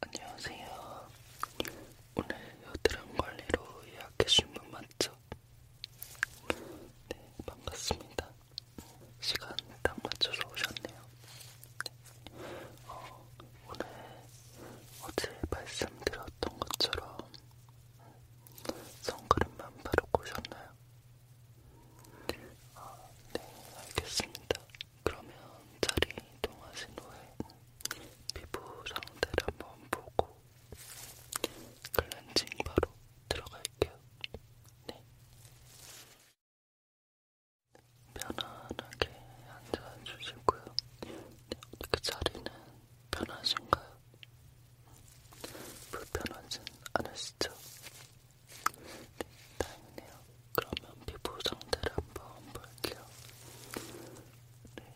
안녕하세요. 오늘 여드름 관리로 예약해준 분 맞죠? 네, 반갑습니다. 시간 딱 맞춰서 오셨네요. 네. 어, 오늘 어제 말씀드렸던 것처럼 선크림만 바르고 오셨나요? 아, 네, 알겠습니다. 그러면 자리 이동하신 후에 피부 상태를 한번 보고 클렌징 바로 들어갈게요. 네. 편안하게 앉아주시고요. 네, 어떻게 자리는 편하신가요? 불편하진 않으시죠? 네, 다행이네요. 그러면 피부 상태를 한번 볼게요. 네.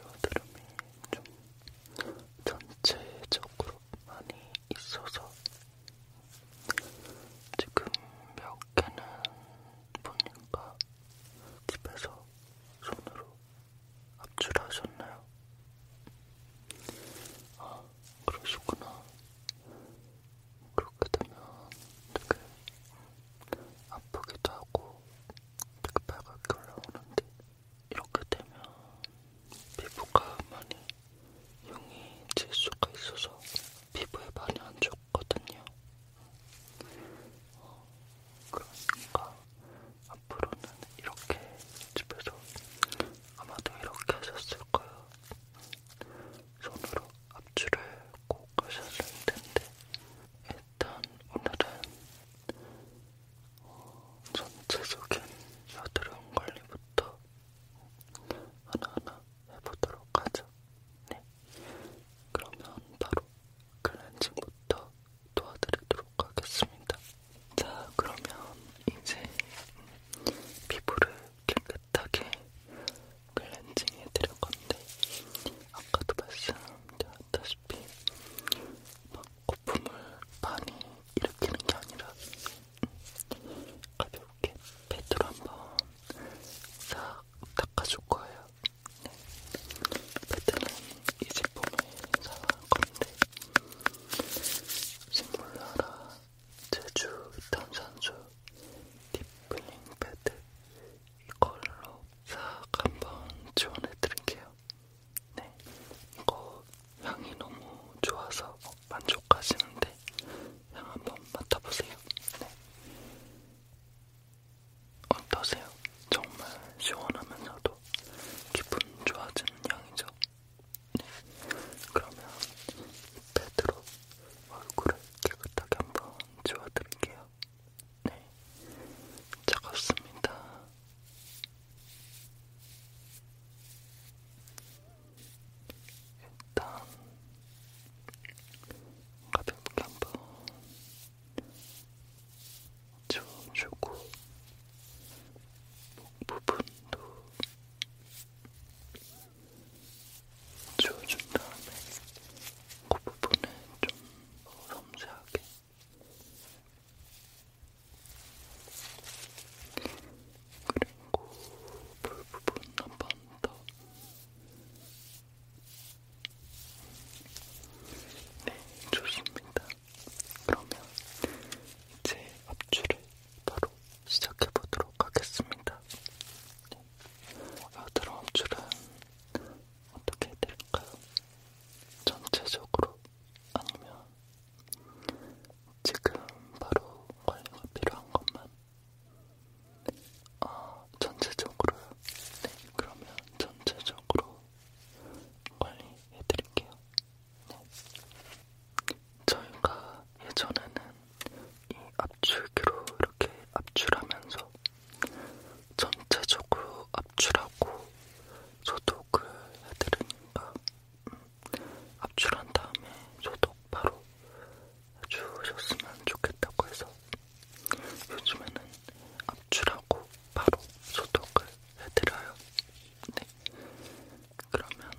여드름이 좀 전체적으로 많이 있어서 지금 몇 개는 보니까 집에서 손으로 압출하셨나요? 아, 그러시구나. 그렇게 되면 되게 아프기도 하고 되게 빨갛게 올라오는데 이렇게 되면 피부가 많이 용이 질 수가 있어서 피부에 많이 안 좋거든요. 어, 그러니까 앞으로는 이렇게 집에서 아마도 이렇게 하셨을 있을까요? 손으로 앞줄을 꼭 하셨을 텐데 일단 오늘은 어, 전체적인 여드름 관리부터 하나하나 해보도록 하죠. 네, 그러면 바로 클렌징부터 도와드리도록 하겠습니다. 자, 그러면 이제 피부를 깨끗하게 클렌징 해드릴 건데, 아까도 말씀드렸다시피, 막 거품을 많이 일으키는 게 아니라, 가볍게 패드로 한번 싹 닦아줄 거예요. 네. 패드는 이 제품을 사갈 건데, 식물나라 제주 탄산수 딥클링 패드 이걸로 싹 한번 지원해드릴게요. 네, 이거 향이 너무 좋아서 만족하시는데 향 한번 맡아보세요. 네. 어떠세요? 정말 시원하면서도 기분 좋아지는 향이죠. 그러면 패드로 얼굴을 깨끗하게 한번 지워드릴게요. 네, 차갑습니다. 일단 가볍게 한번 지워주고 목 부분도 지워준 다음에 그 부분을 좀 섬세하게 그리고 볼 부분 한 번 더 네, 좋습니다. 그러면 이제 앞줄을 바로 시작해보도록 하겠습니다. 여드름 네. 압출은 어떻게 해드릴까요? 전체적으로 아니면 지금 바로 관리가 필요한 것만? 아, 전체적으로요? 네, 그러면 전체적으로 관리해드릴게요. 저희가 예전에는 이 압출기로 이렇게 압출하면서 전체적으로 압출하고 소독을 해드리니까 음, 압출한 다음에 소독 바로 해주셨으면 좋겠다고 해서 요즘에는 압출하고 바로 소독을 해드려요. 네. 그러면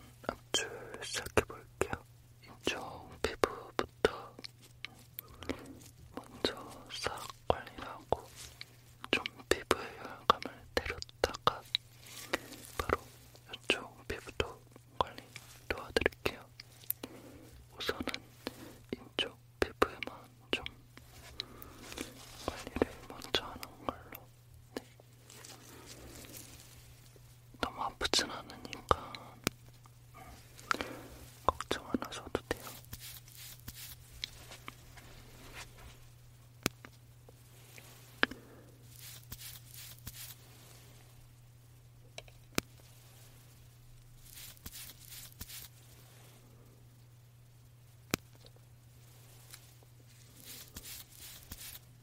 압출 시작해볼게요. 인중 피부부터 먼저 싹 관리하고 좀 피부의 열감을 내렸다가 바로 이쪽 피부도 관리 도와드릴게요. 우선은 인중 피부에만 좀 관리를 먼저 하는 걸로 네. 너무 아프진 않으니까 걱정 안 하셔도 돼요.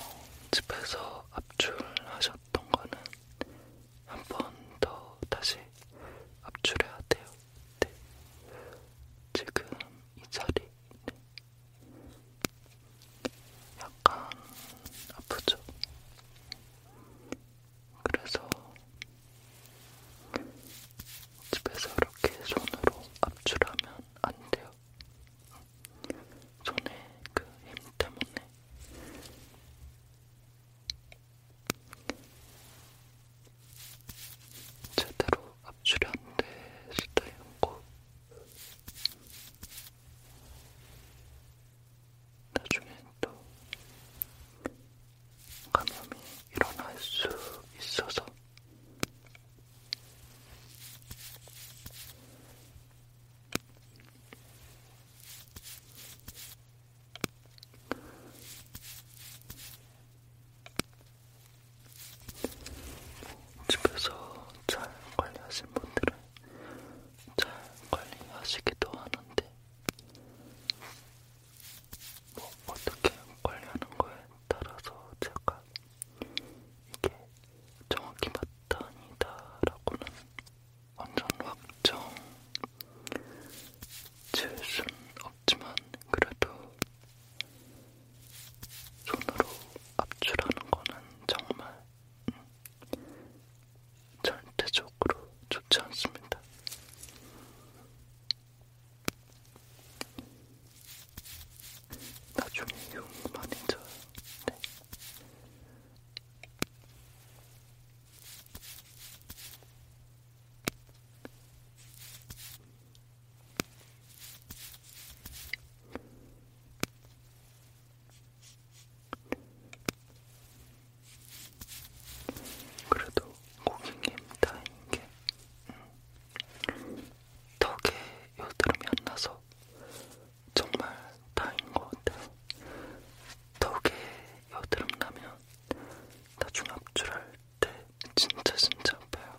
어, 집에서 압출하셨던 거는 한 번 더 다시 압출해야 돼요. 네. 지금 이 자리 네. 약간 아프죠? 그래서 집에서 이렇게 손으로 압출하면 안 돼요. 전에 그 힘 때문에 제대로 압출이 안 됐을 때였고 나중에 또 감염이 일어날 수 있어서 집에서 잘 관리하신 분들은 잘 관리하시기도 하는데, 뭐 어떻게 관리하는 거에 따라서 제가 이게 정확히 맞다 아니다라고는 완전 확정 지을 순 없지만 그래도 손으로 압출하는 거는 정말 음, 절대적으로 좋지 않습니다. 나중에 욕 많이 져요. 네. 그래도 고객님 다행인 게 음, 턱에 여드름이 안 나서 정말 다행인 것 같아요. 턱에 여드름 나면 나중에 압출할 때 진짜 진짜 아파요.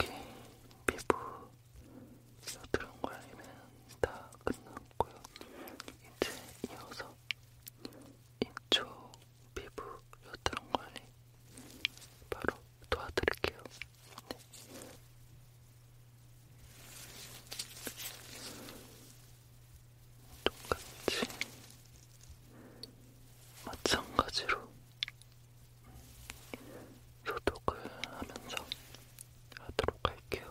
여기 피부 서두른 관리는 다 끝났고요. 이제 이어서 이쪽 피부 여드름 관리 바로 도와드릴게요. 네. 똑같이 마찬가지로 소독을 하면서 하도록 할게요.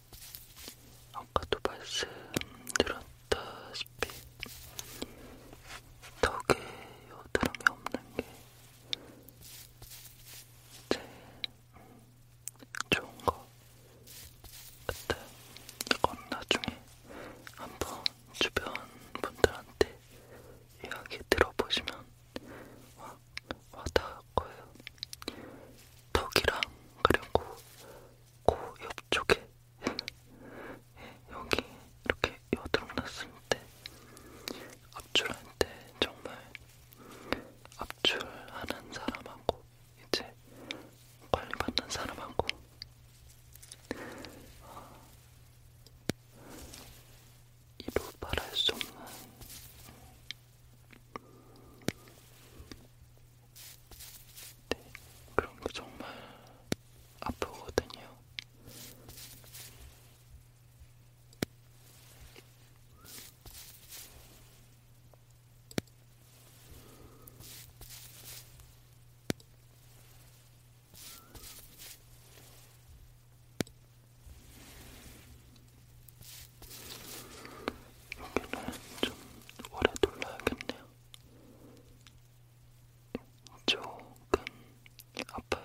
아까도 말씀드렸다시피 턱에 여드름이 없는 게제 좋은 거 같아요. 이건 나중에 한번 주변 분들한테 이야기 들어보시면 와, 와닿을 거예요. 턱이랑 그리고 코 옆쪽에 예, 여기 이렇게 여드름 났을 때 압출할 때 정말 압출하는 사람하고 이제 관리받는 사람하고 어, 이루 말할 수 없는 네, 그런 거 정말 아프거든요. 여기는 좀 오래 돌려야겠네요. 조금 아파요.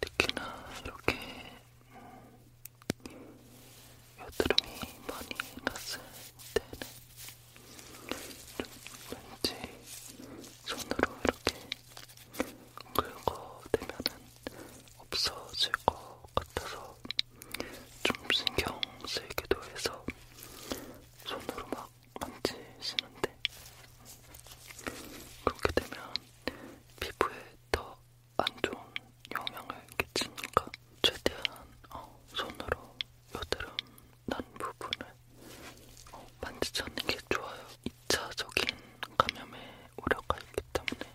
특히나 이렇게 음, 여드름이 많이 났을 때는 좀 왠지 손으로 이렇게 긁어대면은 없어질 것 같아서 좀 신경 쓰이기도 해서 손으로 막 만지시는데 그렇게 되면 피부에 더 안 좋은 영향을 끼치니까 최대한 어, 손으로 여드름 난 부분을 어, 만지지 않는 게 좋아요. 2차적인 감염의 우려가 있기 때문에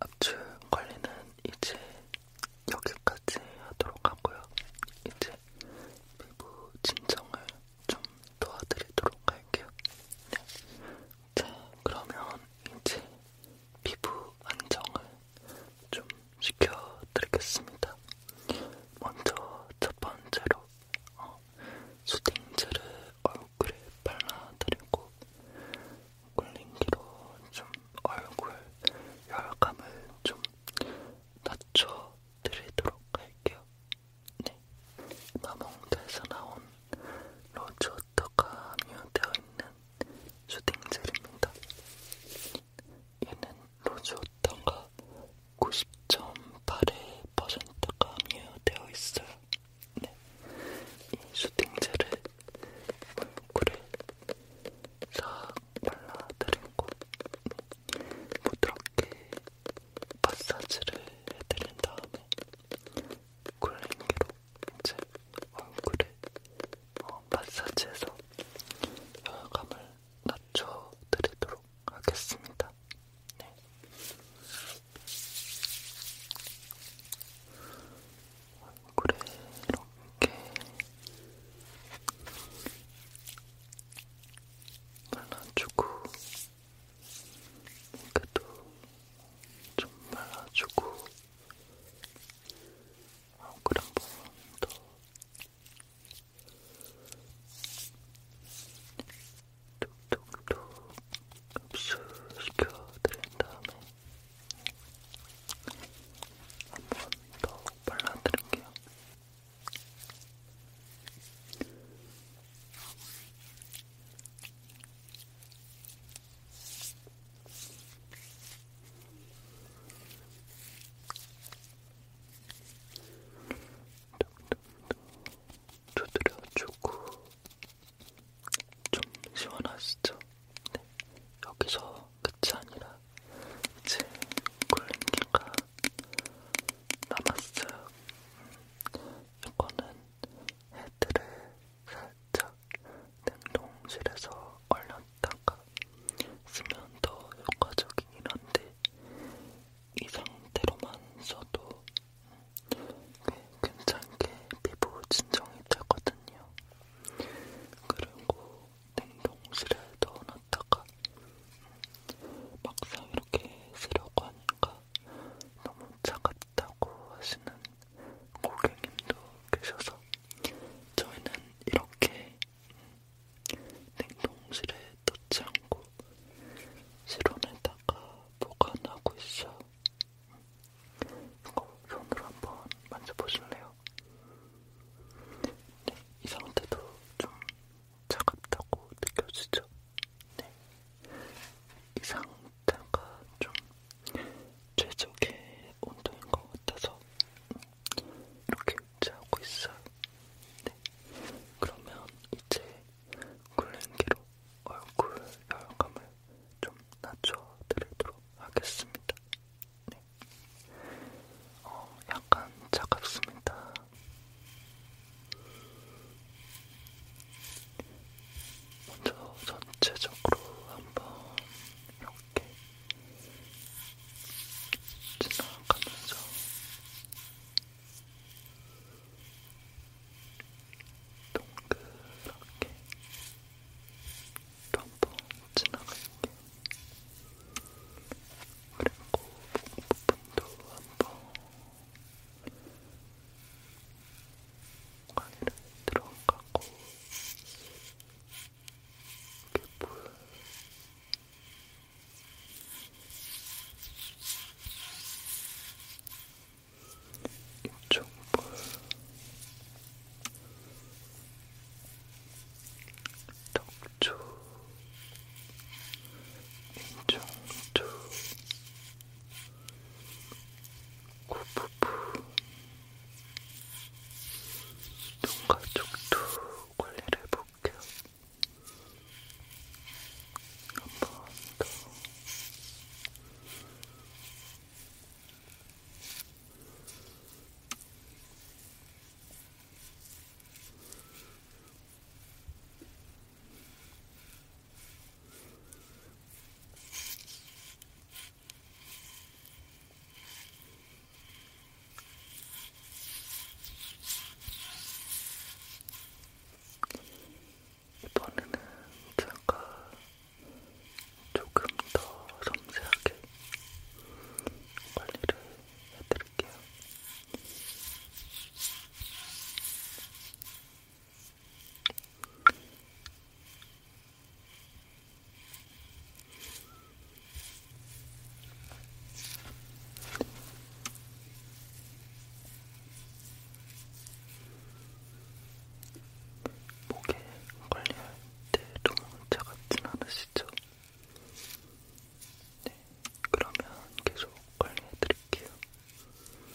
압축 관리는 이제 여기까지 하도록 하고요. 이제 피부 진정을 좀 도와드리도록 할게요. 네. 자, 그러면 이제 피부 안정을 좀 시켜드리겠습니다. 먼저 첫 번째로 어, 수딩젤을 얼굴에 발라드리고 쿨링기로 좀 얼굴 열감을 좀 낮춰드리도록 할게요. 네. 마몽드에서 나온 로즈 워터가 함유되어 있는 수딩젤입니다. 얘는 로즈 워터가 90.8%가 함유되어 있어요. 네. 이 수딩젤을 물구를 싹 발라드리고 부드럽게 마사지를 해드린 다음에 쿨링기로 이제 얼굴에 어, 마사지해서 열감을 낮춰드리도록 하겠습니다. 네. 얼굴에 이렇게 발라주고 목에도 좀 발라주고 얼굴 한번더 톡톡톡 흡수시켜 드린 다음에 한번더 발라드릴게요. 두드려주고 좀 시원하시죠? 네, 여기서 끝이 아니라 이제 굴림기가 남았어요. 음, 이거는 헤드를 살짝 냉동실에서 얼렸다가 쓰면 더 효과적이긴 한데 이 상태로만 써도 꽤 괜찮게 피부 진정이 되거든요. 그리고 냉동실에 넣어놨다가 막상 이렇게 쓰려고 하니까 너무 차갑다고 하시는 고객님도 계셔서 저희는 이렇게 냉동실에 넣지 않고 실온에다가 보관하고 있어요. 이거 손으로 한번 만져보실래요? 네, 이 상태도 좀 차갑다고 느껴지죠? 네. 이 상태가 좀 최적의 온도인 것 같아서 이렇게 유지하고 있어요. 네. 그러면 이제 굴렌기로 얼굴 열감을 좀 낮춰드리도록 하겠습니다. 네. 어, 약간 차갑습니다. 먼저 전체적으로 한번 이렇게 지나가면서 동그랗게 한번 지나갈게요. 그리고 목부분도 한번 관리를 들어가고 피부 이쪽 볼 덕초, 민정초, 고부부, 눈가쪽도 관리를 해볼게요. 한번 더. 이번에는 제가 조금 더 섬세하게 관리를 해드릴게요. 목에 관리할 때 너무 차갑진 않으시죠? 네, 그러면 계속 관리해드릴게요. 네,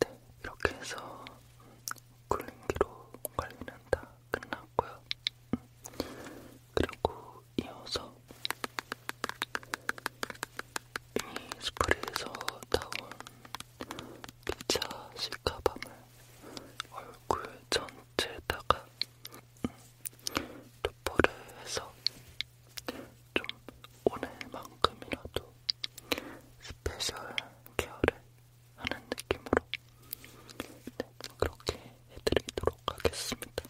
네, 이렇게 해서 쿨링기로 관리는 다다 끝났고요. 그리고 이어서 이 스프레이에서 나온 피자 시카밤을 얼굴 전체에다가 도포를 해서 좀 오늘만큼이라도 스페셜 케어를 하는 느낌으로 네, 그렇게 해드리도록 하겠습니다.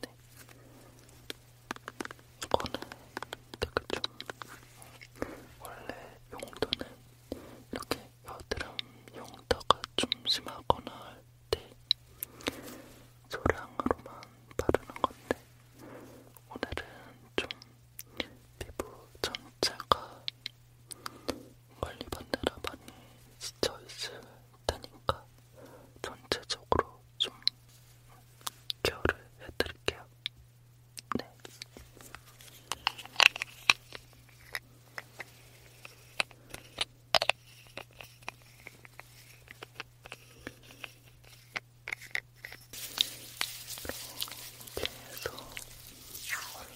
네. 이거는 되게 좀 원래 용도는 이렇게 여드름 용도가 좀 심하거나 할 때 소량으로만 바르는 건데 오늘은 좀 피부 전체가 멀리 반대라 많이 지쳐 있을 테니까 전체적으로 좀 케어를 해드릴게요. 네. 이렇게 해서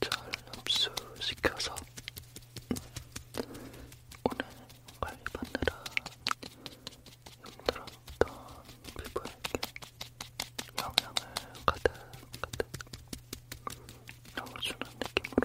잘 흡수시켜서 오늘 관리받느라 힘들었던 피부에게 영향을 가득가득 넣어주는 느낌으로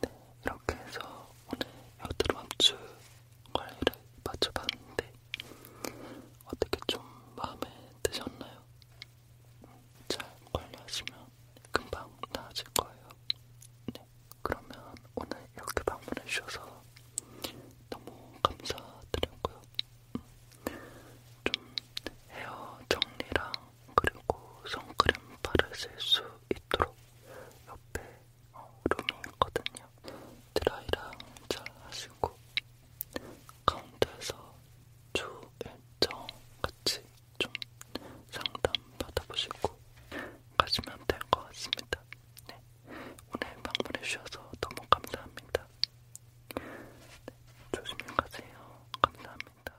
네, 이렇게 해서 오늘 여드름 압출 관리를 마쳐봤는데 어떻게 좀 마음에 드셨나요? 잘 관리하시면 금방 나아질 거예요. 네, 그러면 오늘 이렇게 방문해 주셔서 너무 감사드렸고요. 음, 좀 헤어 정리랑 그리고 선크림 바르실 수 있도록 옆에 어, 룸이 있거든요. 드라이랑 잘 하시고 가운데서 주 일정 같이 좀 상담 받아보시고 가시면 될 것 같습니다. 네. 오늘 방문해 주셔서 너무 감사합니다. 네, 조심히 가세요. 감사합니다.